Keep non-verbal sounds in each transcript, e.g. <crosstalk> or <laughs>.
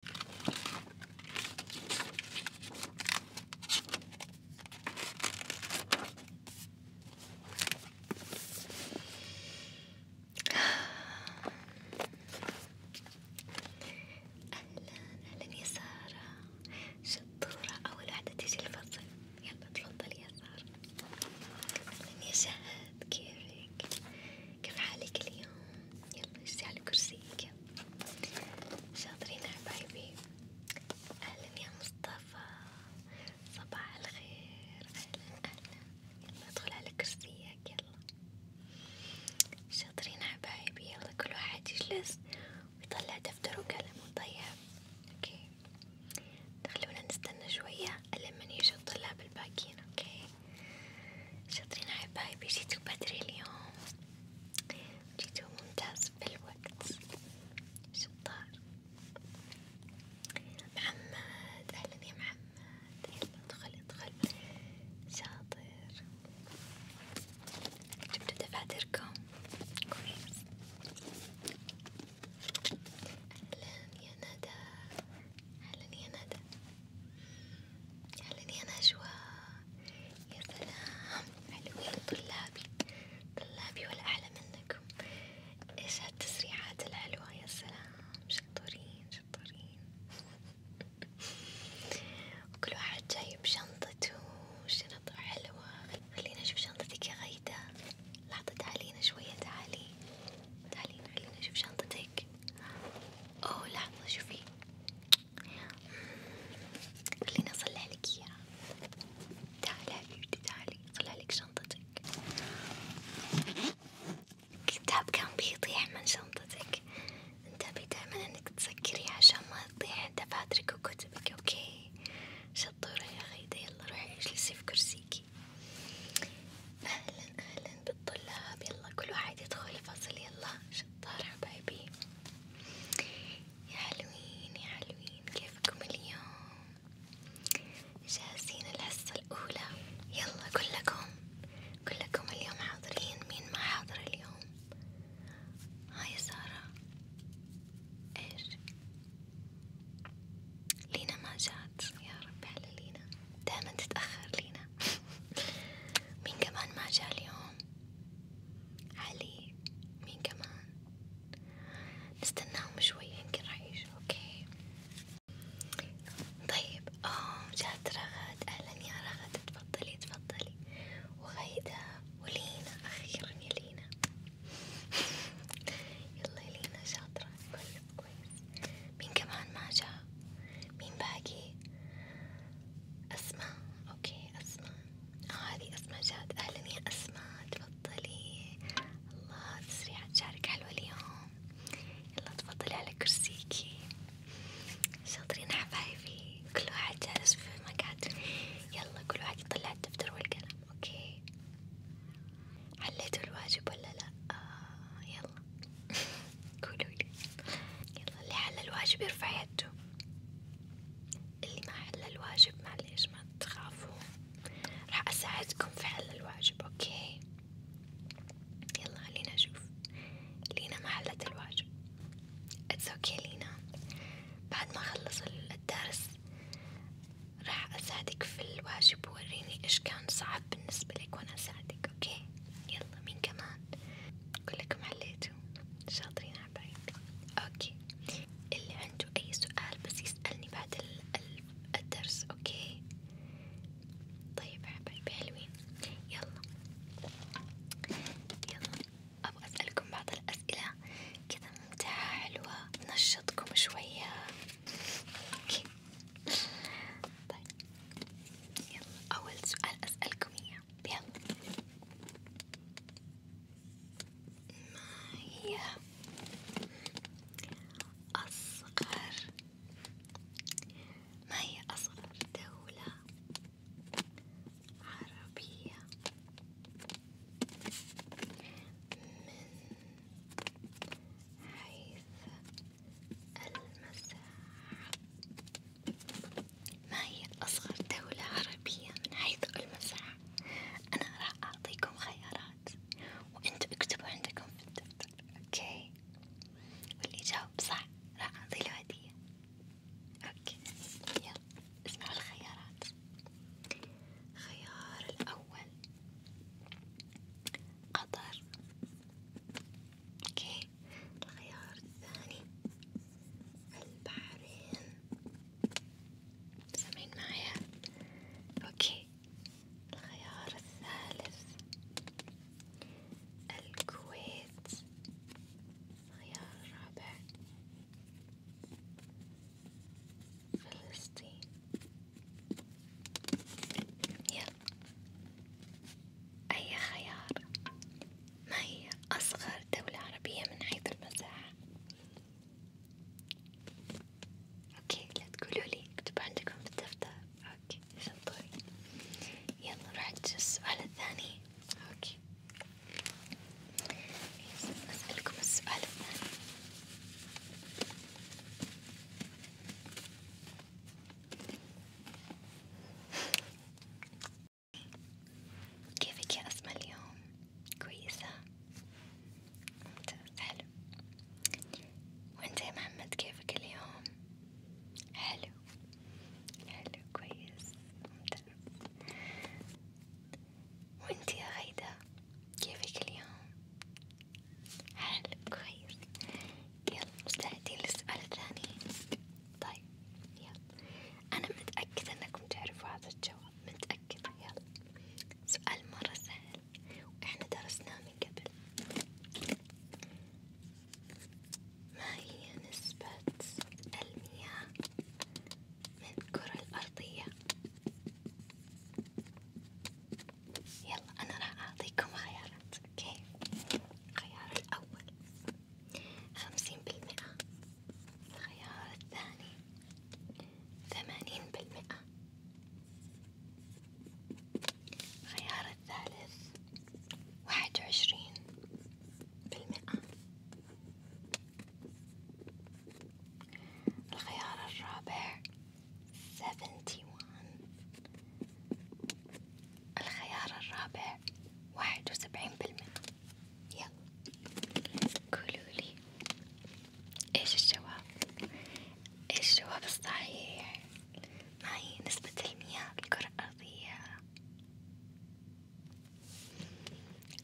أهلا أهلا يا سارة شطورة أول وحدة تيجي الفصل يلا تفضل يا سارة أهلا يا شهد كيفك؟ كيف حالك اليوم؟ يلا اجلسي على كرسيك شاطرين حبايبي أهلا يا مصطفى صباح الخير أهلا أهلا يلا ادخل على كرسيك يلا شاطرين حبايبي يلا كل واحد يجلس ويطلع دفتر وقلم طيب اوكي خلونا نستنى شوية لمن يجوا الطلاب الباقيين اوكي شاطرين حبايبي جيتوا بدري اليوم جيتوا ممتاز بالوقت شطار محمد أهلا يا محمد يلا ادخل ادخل شاطر جبتوا دفاتركم كويس أهلا يا ندى أهلا يا ندى خليني أنا أجواء يا سلام حلوين طلابي طلابي ولا أحلى منكم إيش هالتسريحات الحلوة يا سلام شطورين شطورين وكل واحد جايب شنطته شنطة حلوة خلينا أشوف شنطتك يا غيدة لحظة تعالينا شوية تعالي تعالينا خلينا أشوف شنطتك أوه لحظة شوفي خليني أصلح لك إياها تعالي حبيبتي تعالي أصلح لك شنطتك كتاب كان بيطيح من شنطتك انتبهي دايما انك تسكريه عشان ما تطيح دفاترك وكتبك اوكي شطورة يا غيدة يلا روحي اجلسي في كرسيكي أهلا أهلا بالطلاب يلا كل واحد يدخل فصل يلا شطار حبايبي يا حلوين يا حلوين كيفكم اليوم جاهزين الحصة الأولى يلا كلكم كلكم اليوم حاضرين مين ما حاضر اليوم هاي سارة ايش لينا ما جات يا رب على لينا دائما تتأخر لينا مين كمان ما جاء اليوم علي مين كمان نستناهم شوي يمكن راح يجوا اوكي طيب اه جات رغد اهلا يا رغد تفضلي تفضلي وغيدا ولينا اخيرا يا لينا <laughs> يلا يا لينا شاطرة كل طيب. طيب كويس مين كمان ما جاء مين باقي أسماء أوكي أسماء آه هذه أسماء جات أهلا يا أسماء تفضلي الله تسريعة شعرك حلوة اليوم يلا تفضلي على كرسيكي شاطرين حبايبي كل واحد جالس في مقعد يلا كل واحد يطلع الدفتر والقلم أوكي حليتوا الواجب ولا لأ آه يا يلا <laughs> قولولي يلا اللي حل الواجب يرفع يده اللي ما حل الواجب معليش ما تخافوا راح أساعدكم في حل الواجب أوكي يلا خلينا نشوف لينا ما حلت الواجب اتس اوكي لينا بعد ما أخلص الدرس راح أساعدك في الواجب ووريني إيش كان صعب بالنسبة لك وأنا أساعدك اوكي يلا مين كمان كلكم عليتوا شاطرين عبايد اوكي اللي عنده اي سؤال بس يسألني بعد الدرس اوكي طيب حبايبي حلوين يلا يلا ابغى اسألكم بعض الاسئلة كذا ممتعة حلوة تنشطكم شوية اوكي طيب يلا أول سؤال أسألكم إياه يلا ما هي أصغر ما هي أصغر دولة عربية من حيث المساحة ما هي أصغر دولة عربية من حيث المساحة؟ أنا راح أعطيكم خيارات وأنتوا اكتبوا عندكم في الدفتر، أوكي؟ واللي يجاوب صح راح أعطيله هدية، أوكي؟ يلا اسمعوا الخيارات، الخيار الأول قطر اوكي الخيار الثاني البحرين سامعين معايا اوكي الخيار الثالث الكويت الخيار الرابع فلسطين يلا أي خيار ما هي أصغر دولة عربية من حيث المساحة؟ أوكي لا تقولوا لي اكتبوا عندكم في الدفتر أوكي شطوري يلا رحت السؤال الثاني أوكي أسألكم السؤال الثاني كيفك يا أسماء اليوم؟ كويسة؟ ممتاز حلو وانت يا محمد كيفك اليوم؟ حلو حلو كويس ممتاز وانت يا غيدة كيفك اليوم؟ حلو كويس يلا مستعدين للسؤال الثاني طيب يلا أنا متأكدة أنكم تعرفوا هذا الجواب متأكدة يلا سؤال مرة سهل وإحنا درسناه من قبل ما هي نسبة المياه من الكرة الأرضية؟ يلا أنا راح أعطيكم خيارات أوكي الخيار الأول خمسين بالمئة الخيار الثاني ثمانين بالمئة الخيار الثالث واحد وعشرين بالمئة الخيار الرابع seventy one الخيار الرابع واحد وسبعين بالمئة يلا قولولي ايش الجواب ايش الجواب الصحيح ما هي نسبة المياه الكرة الأرضية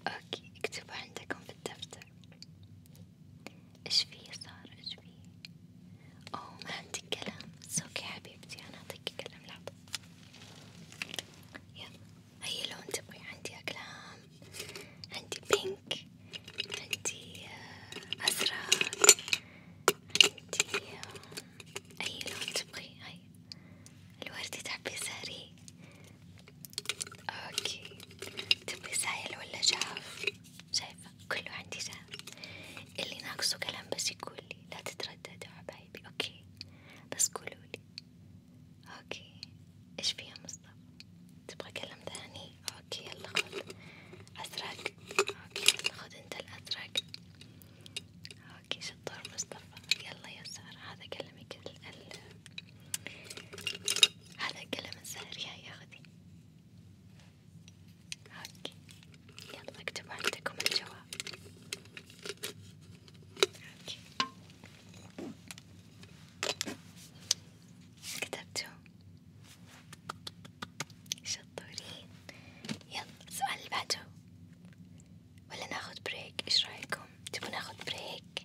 اوكي اكتبوا عندكم في الدفتر إيش فيه صار إيش فيه؟ أوه ما عندك كلام، سوكي حبيبتي أنا أعطيكي كلام لحظة، يلا أي لون تبغي؟ عندي أقلام، عندي بينك، عندي آه، أزرق، عندي آه، أي لون تبغي؟ هاي الوردي تحبي ساري؟ أوكي تبغي سائل ولا جاف؟ شايف كله عندي جاهز اللي ناقصه كلام بس يقولي لا تترددوا حبايبي اوكي بس قولولي اوكي ايش فيها مصطفى تبغى كلام ثاني اوكي يلا خذ ازرق اوكي يلا خذ انت الازرق اوكي شطور مصطفى يلا يسار هذا كلامك ال هذا كلام الزهر يا ياخذي هاكي يلا اكتبوا عندكم الجواب هاكي كتبتوا شطورين يلا السؤال اللي بعده ولا ناخد بريك ايش رايكم تبون ناخد بريك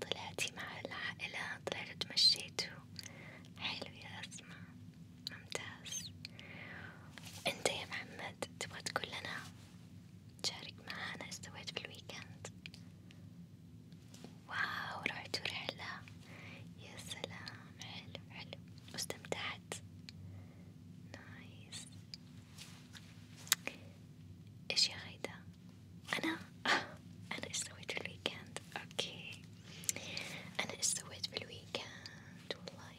طلعتي مع العائلة طلعتوا تمشيتوا حلو يا أسماء ممتاز أنت يا محمد تبغى تقول لنا تشارك معانا إيش سويت في الويكند واو رحتوا رحلة يا سلام حلو حلو واستمتعت نايس إيش يا غيدا أنا <laughs> أنا إيش سويت في الويكند؟ أوكي أنا إيش سويت في الويكند؟ والله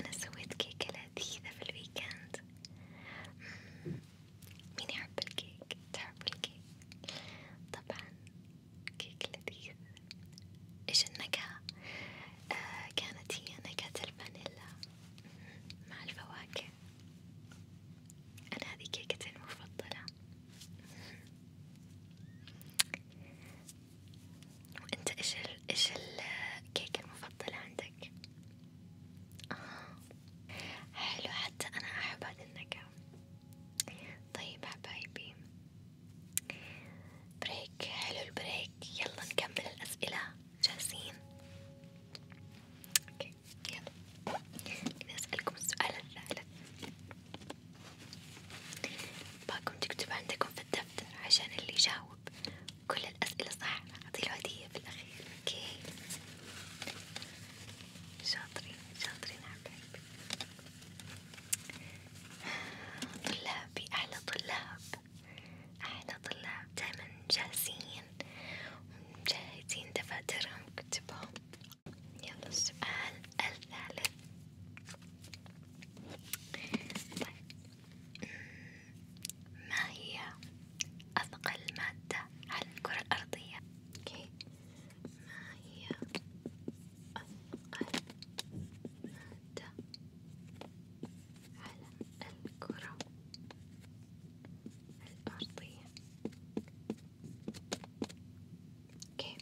أنا سويت كيكة لذيذة في الويكند مين يحب الكيك؟ تحب الكيك؟ طبعا كيك لذيذ إيش النكهة؟ آه كانت هي نكهة الفانيلا مع الفواكه أنا هذه كيكتي المفضلة وانت ايش ال ايش الكيك المفضل عندك؟ آه. حلو حتى انا احب هذي النكهة طيب حبايبي بريك حلو البريك يلا نكمل الاسئلة جاهزين اوكي يلا إذا أسألكم السؤال الثالث باكم تكتب عندكم في الدفتر عشان اللي يجاوب كل الأسئلة صح أعطيله هدية في الأخير اوكي شاطرين شاطرين حبايبي طلابي أحلى طلاب أحلى طلاب دايما جاهزين ومجهزين دفاترهم كتبهم يلا السؤال الثالث طيب ما هي أثقل مادة على الكرة الأرضية؟ أوكي ما هي أثقل مادة على الكرة الأرضية؟ اوكي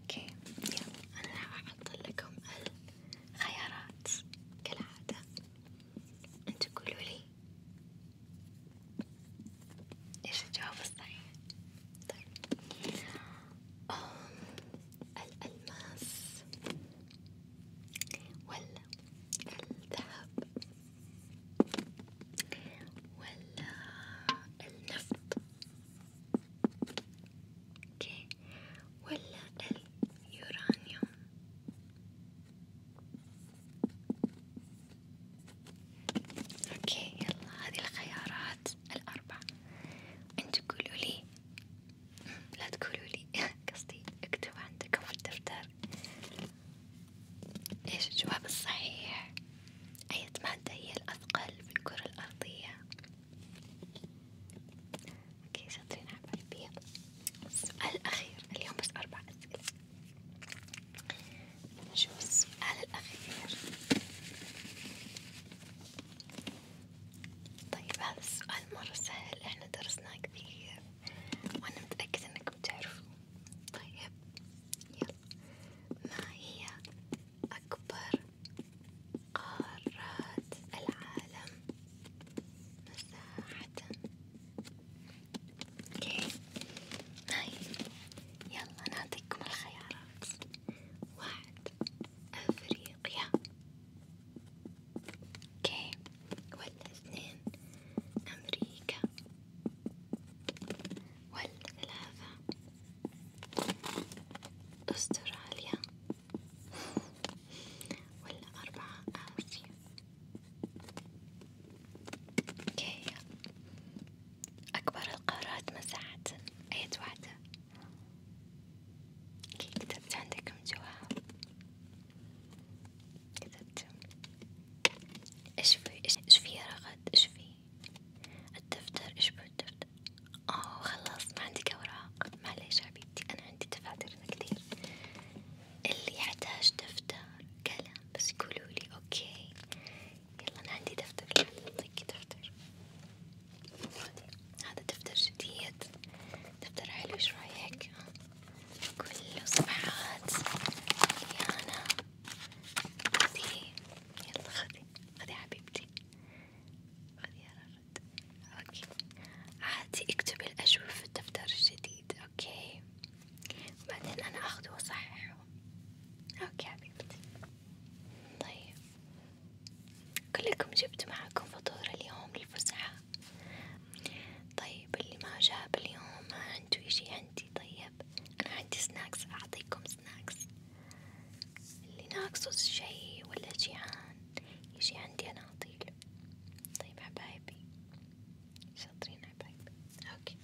اوكي يلا انا راح احط لكم الخيارات كالعادة انتو قولوا لي ايش الجواب الصحيح طيب الألماس ولا الذهب ولا النفط اوكي ولا اليورانيوم اوكي يلا هذه الخيارات الاربع انتوا قولوا لي لا تقولوا لي <laughs> قصدي اكتبوا عندكم في الدفتر ايش الجواب الصحيح أية مادة هي الأثقل في الكرة الأرضية اوكي شاطرين عبالي السؤال الأخير اليوم بس أربع أسئلة نشوف السؤال الأخير طيب هذا السؤال مرة سهل احنا درسناه كثير وانا متأكدة انكم بتعرفوه طيب يلا ما هي اكبر قارات العالم مساحة اوكي طيب يلا نعطيكم الخيارات واحد افريقيا يا اوكي ولا اثنين أمريكا ولا ثلاثة أستراليا ولا أربعة آسيا اوكي أكبر القارات مساحة أية واحدة كي كتبت عندكم جواب كتبت ايش في ايش في يا رغد ايش في الدفتر ايش في الدفتر اوه خلاص ما عندك اوراق معليش حبيبتي انا عندي دفاترنا كتير اللي يحتاج دفتر قلم بس يقولولي اوكي يلا انا عندي دفتر يعطيكي دفتر هذا دفتر جديد دفتر حلو شو رايك؟ كله صفحات مليانة خذي يلا خذي خذي حبيبتي خذي يا رفد اوكي عادي اكتبي الأجوبة في الدفتر الجديد اوكي بعدين انا اخذه واصححه اوكي حبيبتي طيب كلكم جبت معكم فطور اليوم للفسحة طيب اللي ما جاب اليوم ما عنده إشي عندي طيب أنا عندي سناكس أعطيكم سناكس اللي ناقصه شي ولا جيعان يجي عندي أنا أعطيله طيب، حبايبي شاطرين حبايبي أوكي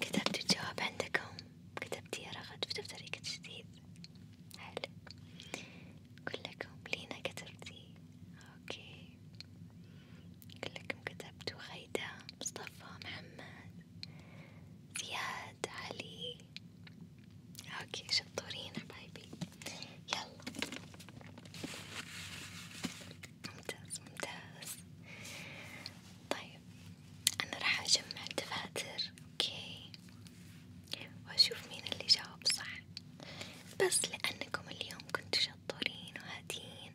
كتبتوا الجواب عندكم كتبتي يا رغد في دفترك الجديد حلو كلكم لينا كتبتي اوكي كلكم كتبتوا غيدا مصطفى محمد زياد علي اوكي شطورين حبايبي يلا ممتاز ممتاز طيب انا راح اجمع دفاتر أوكي وأشوف مين اللي جاوب صح بس لأنكم اليوم كنتوا شطورين وهادين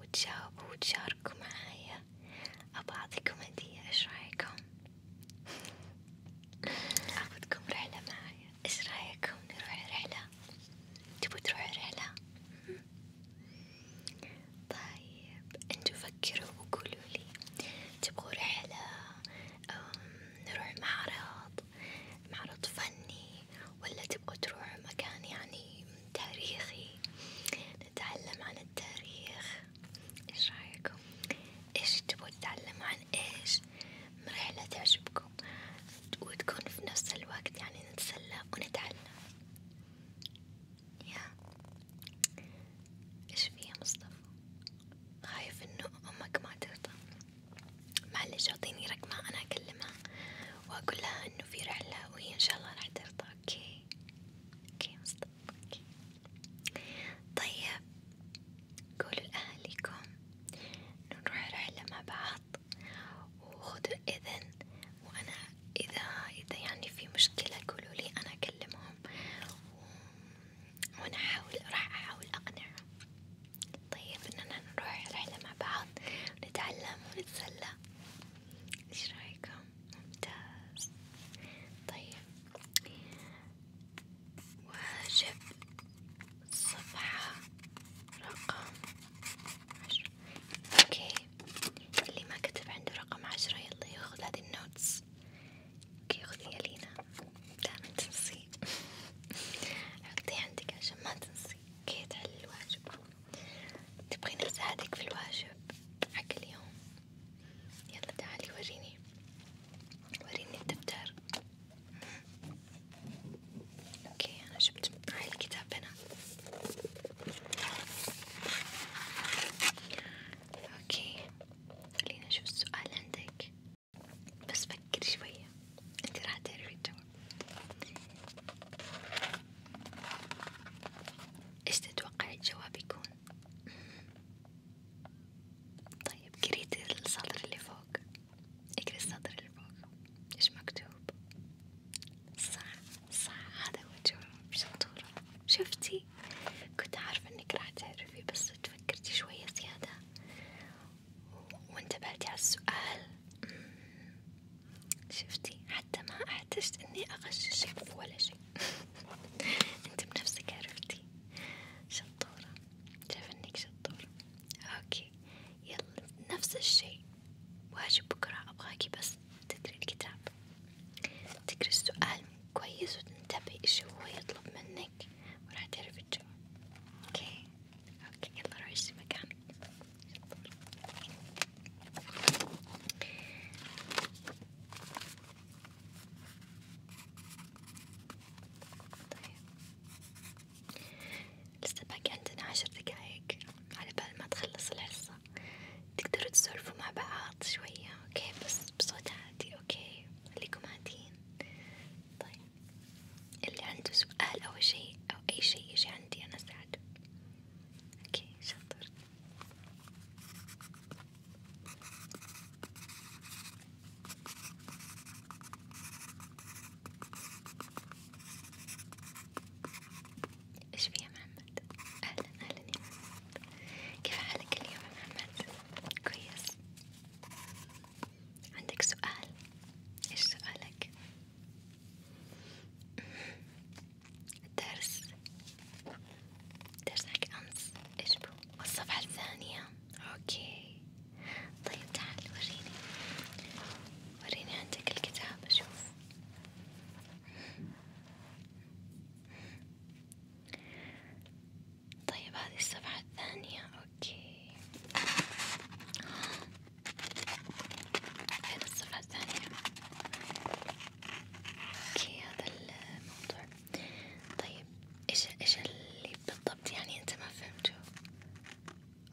وتجاوبوا وتشاركوا معايا أبغى أعطيكم هدية إيش رأيكم؟ أخذكم رحلة معايا إيش رأيكم نروح رحلة؟ تبوا تروحوا رحلة؟ طيب انتوا فكروا وقولوا لي تبغوا رحلة نروح معرض معرض فني ولا تبغوا تروحوا مكان يعني تاريخي نتعلم عن التاريخ ايش رايكم ايش تبغوا تتعلموا عن ايش رحلة تعجبكم وتكون في نفس الوقت يعني نتسلى ونتعلم يا ايش فيها مصطفى خايف انه امك ما ترضى معلش اعطيني رقمها انا اكلمها واقول لها انه في رحلة وهي ان شاء الله راح ترضى اوكي اوكي مصطفى اوكي طيب قولوا لأهلكم نروح رحلة مع بعض وخذوا اذن وانا اذا اذا يعني في مشكلة قولولي انا اكلمهم وأنا أحاول راح أحاول أقنعه طيب إننا نروح رحلة مع بعض ونتعلم ونتسلى إيش رأيكم؟ ممتاز طيب واجب صفحة رقم عشرة اوكي اللي ما كتب عنده رقم عشرة يلا ياخذ هذه النوتس اوكي خذيها لينا دائما تنسي حطيه عندك عشان ما تنسي كي تحل الواجب تبغين اساعدك في الواجب حق اليوم يلا تعالي وريني وريني الدفتر اوكي انا جبت معي الكتاب هنا اوكي خلينا نشوف السؤال عندك بس فكري شوية انت راح تعرفي الجواب ايش تتوقعي الجواب يكون؟ <laughs> طيب قريتي السطر اللي فوق اقري السطر اللي فوق ايش مكتوب؟ صح صح هذا هو الجواب شفتي تعرفي كنت عارفة انك راح تعرفي بس تفكرتي شوية زيادة وانتبهتي على السؤال شفتي حتى ما احتجت اني اغششك ولا شيء <laughs> انت بنفسك عرفتي شطورة شايف انك شطورة اوكي يلا نفس الشي واجب بكرة ابغاكي بس تدري الكتاب تقري السؤال كويس وتنتبهي إيش هو يطلب منك وراح تعرفي الجواب، أوكي؟ أوكي يلا روحي اشتري مكانك، طيب لسه باقي عندنا عشر دقايق على بال ما تخلص الحصة، تقدروا تسولفوا مع بعض شوية، أوكي بس بصوت عادي أوكي خليكم هادين طيب اللي عنده سؤال أو شيء أو أي شيء يجي عندي أنا أساعده أوكي شاطر إيش في يا محمد؟ أهلا أهلا يا محمد كيف حالك اليوم يا محمد؟ كويس؟ عندك سؤال؟ إيش سؤالك؟ الدرس درس حق أمس إيش بو؟ والصفحة الثانية أوكي طيب تعال وريني وريني عندك الكتاب أشوف طيب هذه الصفحة الثانية اوكي هذه الصفحة الثانية اوكي هذا الموضوع طيب ايش ايش اللي بالضبط يعني انت ما فهمته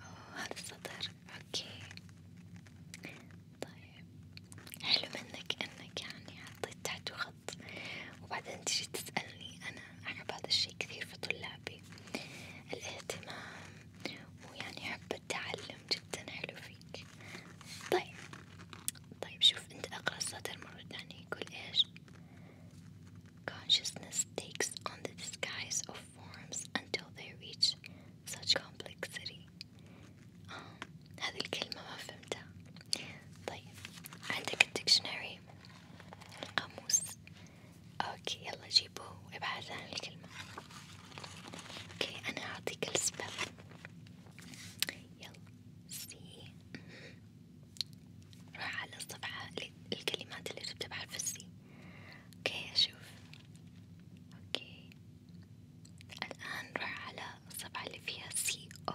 اوه هذا السطر اوكي طيب حلو منك انك يعني حطيت تحت الخط وبعدين تجي تسألني أنا أحب هذا الشي كثير في طلابي الاهتمام ويعني حب التعلم جدا حلو فيك طيب طيب شوف أنت أقرأ سطر مرة ثانية يقول إيش Consciousness takes on the disguise of forms until they reach such complexity آه، هذه الكلمة ما فهمتها طيب عندك الديكشنري القاموس اوكي يلا جيبوه وابحث عن الكلمة اوكي انا اعطيك السبب يلا سي روح على الصفحة الكلمات اللي بتبدأ بحرف السي اوكي اشوف اوكي الآن روح على الصفحة اللي فيها سي أو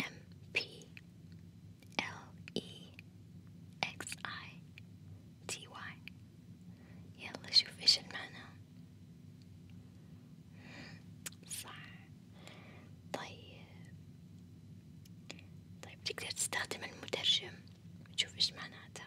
ام بي ال اي يلا شوف ايش المعنى صح طيب طيب تقدر تستخدم المترجم وتشوف ايش معناتها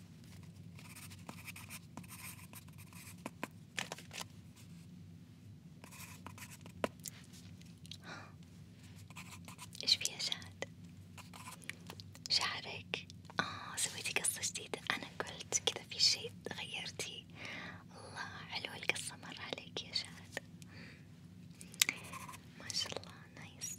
<gasps> ايش فيها شاد شعرك اه سويتي قصة جديدة انا قلت كذا في شي غيرتي الله حلوة القصة مرة عليك يا شاد ما شاء الله نايس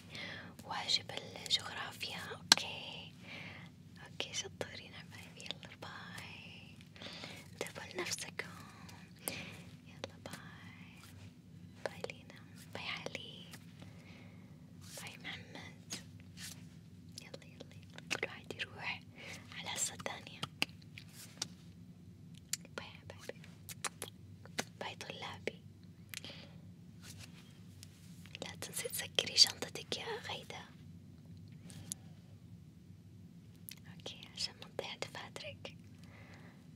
أوكي واجب الجغرافيا أوكي أوكي شطورين حبايبي يلا باي انتبهوا لنفسكم يلا باي باي لينا باي علي باي محمد يلا يلا يلا كل واحد يروح على حصة تانية باي حبايبي باي طلابي لا تنسي تسكري شنطتك يا غيدة اوكي عشان ما تضيع دفاترك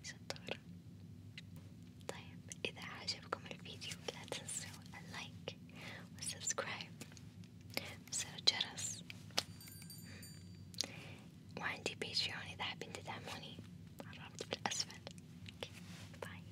شطورة طيب اذا عجبكم الفيديو لا تنسوا اللايك والسبسكرايب وزر الجرس وعندي بيتريون اذا حابين تدعموني I don't have to put S friend. bye.